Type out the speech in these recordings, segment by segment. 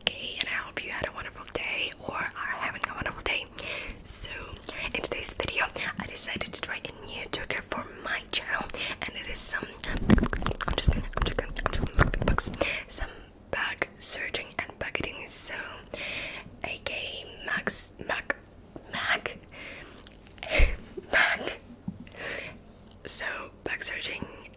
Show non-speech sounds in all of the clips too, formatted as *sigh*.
okay? And I hope you had a wonderful day or are having a wonderful day. So, in today's video, I decided to try a new trigger for my channel, and it is some. I'm just gonna, I'm just gonna, I'm just gonna some bug searching and bucketing. So, aka Max, Mac, Mac, *laughs* Mac. So, bug searching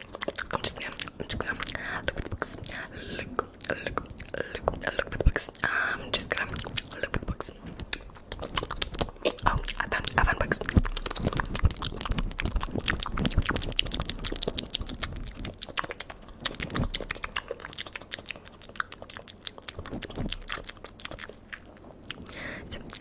I'm just gonna, I'm just gonna look for the books. Look, look, look, look for the books. I'm just gonna look for the books. Oh, I found, I found books. So,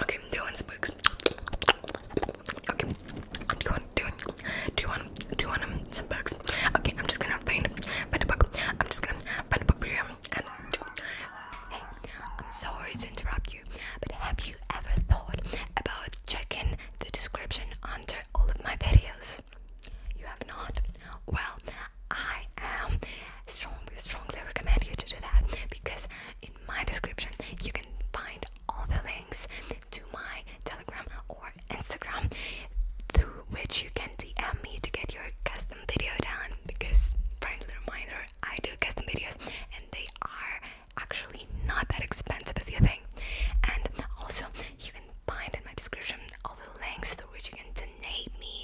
Okay, do you want spooks? Okay, do you do you do you do you some books? Okay, I'm just gonna find, find a book. I'm just gonna find a book for you. hey, I'm sorry to interrupt you, but have you ever thought about checking the description under all of my videos? You have not? Well, I am strongly, strongly recommend you to do that because in my description you can find all the links to my Telegram or Instagram through which you can DM me to get your custom video done because friendly reminder I do custom videos and they are actually not that expensive as you think and also you can find in my description all the links through which you can donate me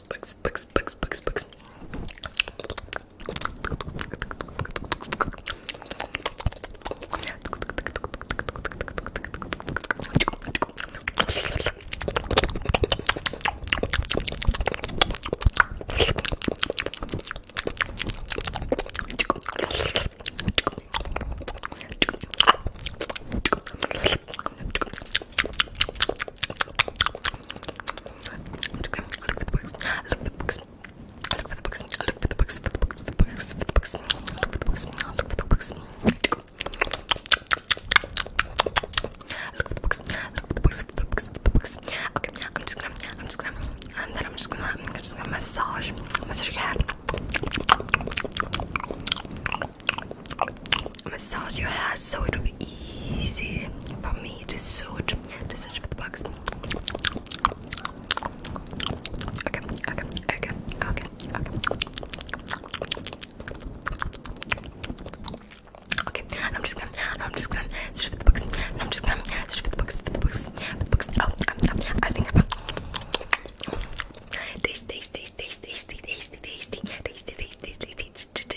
bugs, bugs, bugs, bugs, bugs, bugs. Look for the books. Look for the books. Look for the books. Look for the books. For the books. For the books. For the books. Look for the books. Look for the books. Look for the books. Look for the books. For the books. For the books. Okay, I'm just gonna. I'm just gonna. And then I'm just gonna. I'm just gonna massage. Massage your head massage your hair so it will be easy for me to search to search for the bugs. Okay, okay, okay, okay, okay. Okay, and I'm just gonna, and I'm just gonna search for the bugs, and I'm just gonna search for the bugs, for the bugs, for the bugs. Oh, um, um, I think I found. Tasty, tasty, tasty, tasty, tasty, tasty, tasty, tasty, tasty, tasty, tasty, I'm just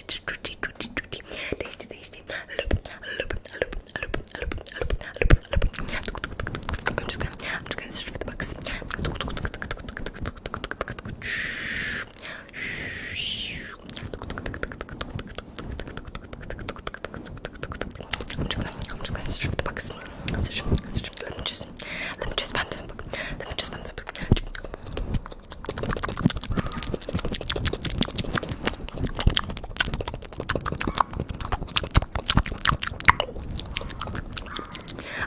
gonna, I'm just gonna search the bugs. I'm just gonna, I'm just gonna search the bugs. Search, search. Let me just, let me just find this bug. Let me just find this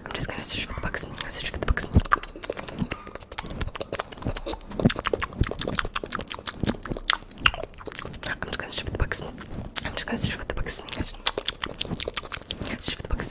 I'm just gonna search for the bugs. Search for the bugs. I'm just gonna search for the bugs. I'm just gonna search for the bugs. Search for the bugs.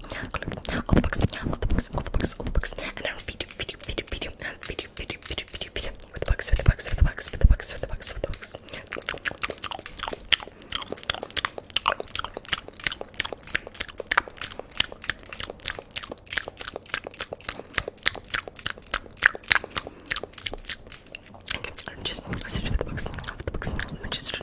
all the books, all the books, all the books, all the books, and I'll feed you, feed you, feed you, feed you, with the books, with the books, with the books, with the books, with the books, with the books. am just, I for the books, not the books, just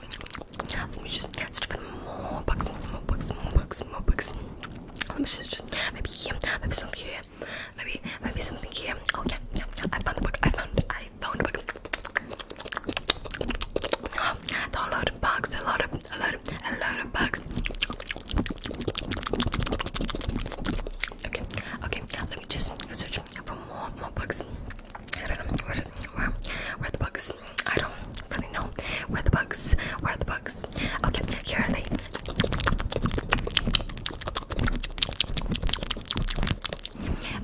Let me just stuff in more bucks, more bucks, more bucks, more bucks. Let me just, just maybe maybe something here, maybe maybe something here. Oh yeah, yeah, I found the book. I found I found the book. A lot of bugs, a lot of a lot of a lot of bugs. Okay, okay, let me just search for more more bugs. I don't know where, where, where the bugs. I don't really know where the bugs. Where are the bugs? Okay, here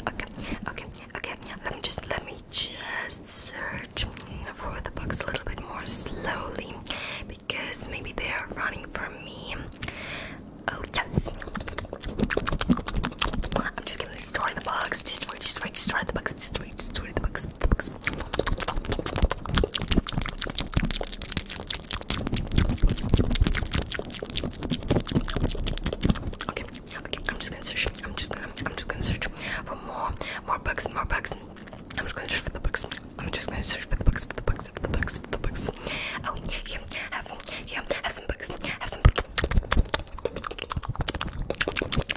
Okay, okay, okay. Let me just let me just search for the bugs a little bit more slowly because maybe they are running from me. Oh yes. I'm just Destroy the bugs. Destroy, destroy, destroy the bugs. Destroy, destroy the bugs. The bugs. Okay, okay. I'm just gonna search. I'm just gonna. I'm just gonna search for more, more bugs, more bugs. I'm just gonna search for the bugs. I'm just gonna search for the bugs, for the bugs, for the bugs, for the bugs. Oh, yeah, have, yeah, have some bugs, have some. Bugs.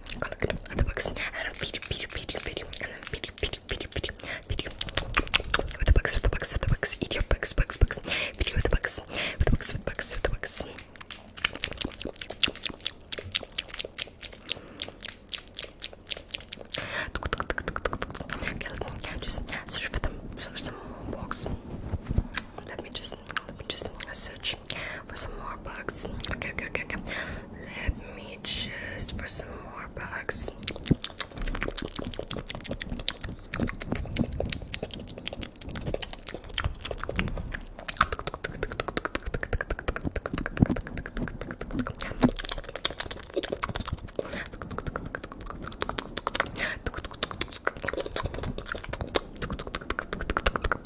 with the books, with the books, with the books, eat your books, books, books, video with the books, with the books, with the books, with the books. Okay, let me just search for them, Let me just I'm just search for some more bugs. Okay, okay, okay, okay. Let me just for some more bugs.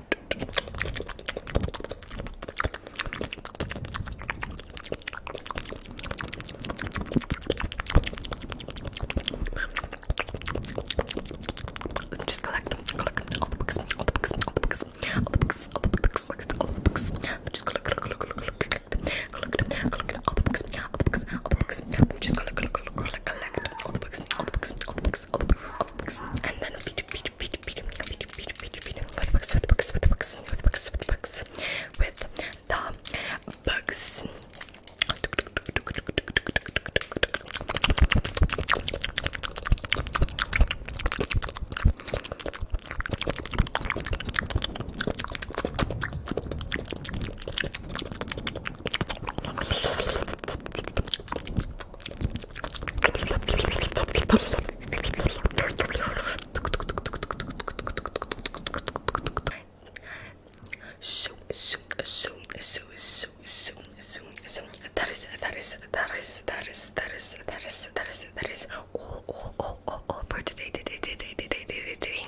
Just collect, collect all the books, all the books, all the books, all the books, all the books, collect all the books. Just collect, collect, collect, collect, collect, collect, collect all the books, all the books, all the books. Just collect, collect, collect, collect all the books, all the books, all the books, all the books, all the books, and then be bugs, with bugs, with bugs, with bugs, with bugs, with the bugs. Shoot, shoot, shoot, shoot, shoot, shoot, shoot. That is, that is, that is, that is, that is, that is, that is, that is all, all, all, all, all for today, today, today, today, today, today.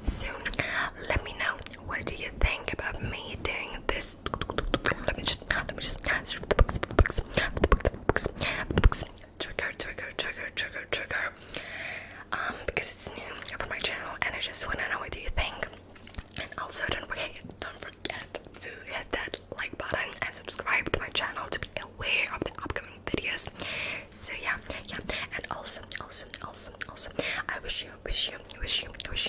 Soon, let me know what do you think about me doing this books. Let me just, let me just answer the books, the books, the books, the books, the books. Trigger, trigger, trigger, trigger, trigger. Um, because it's new for my channel, and I just wanna know what do you think. And also, don't forget, don't forget to hit that like button and subscribe to my channel to be aware of the upcoming videos. So yeah, yeah. And also, also, also, also, I wish you, wish you, wish you, wish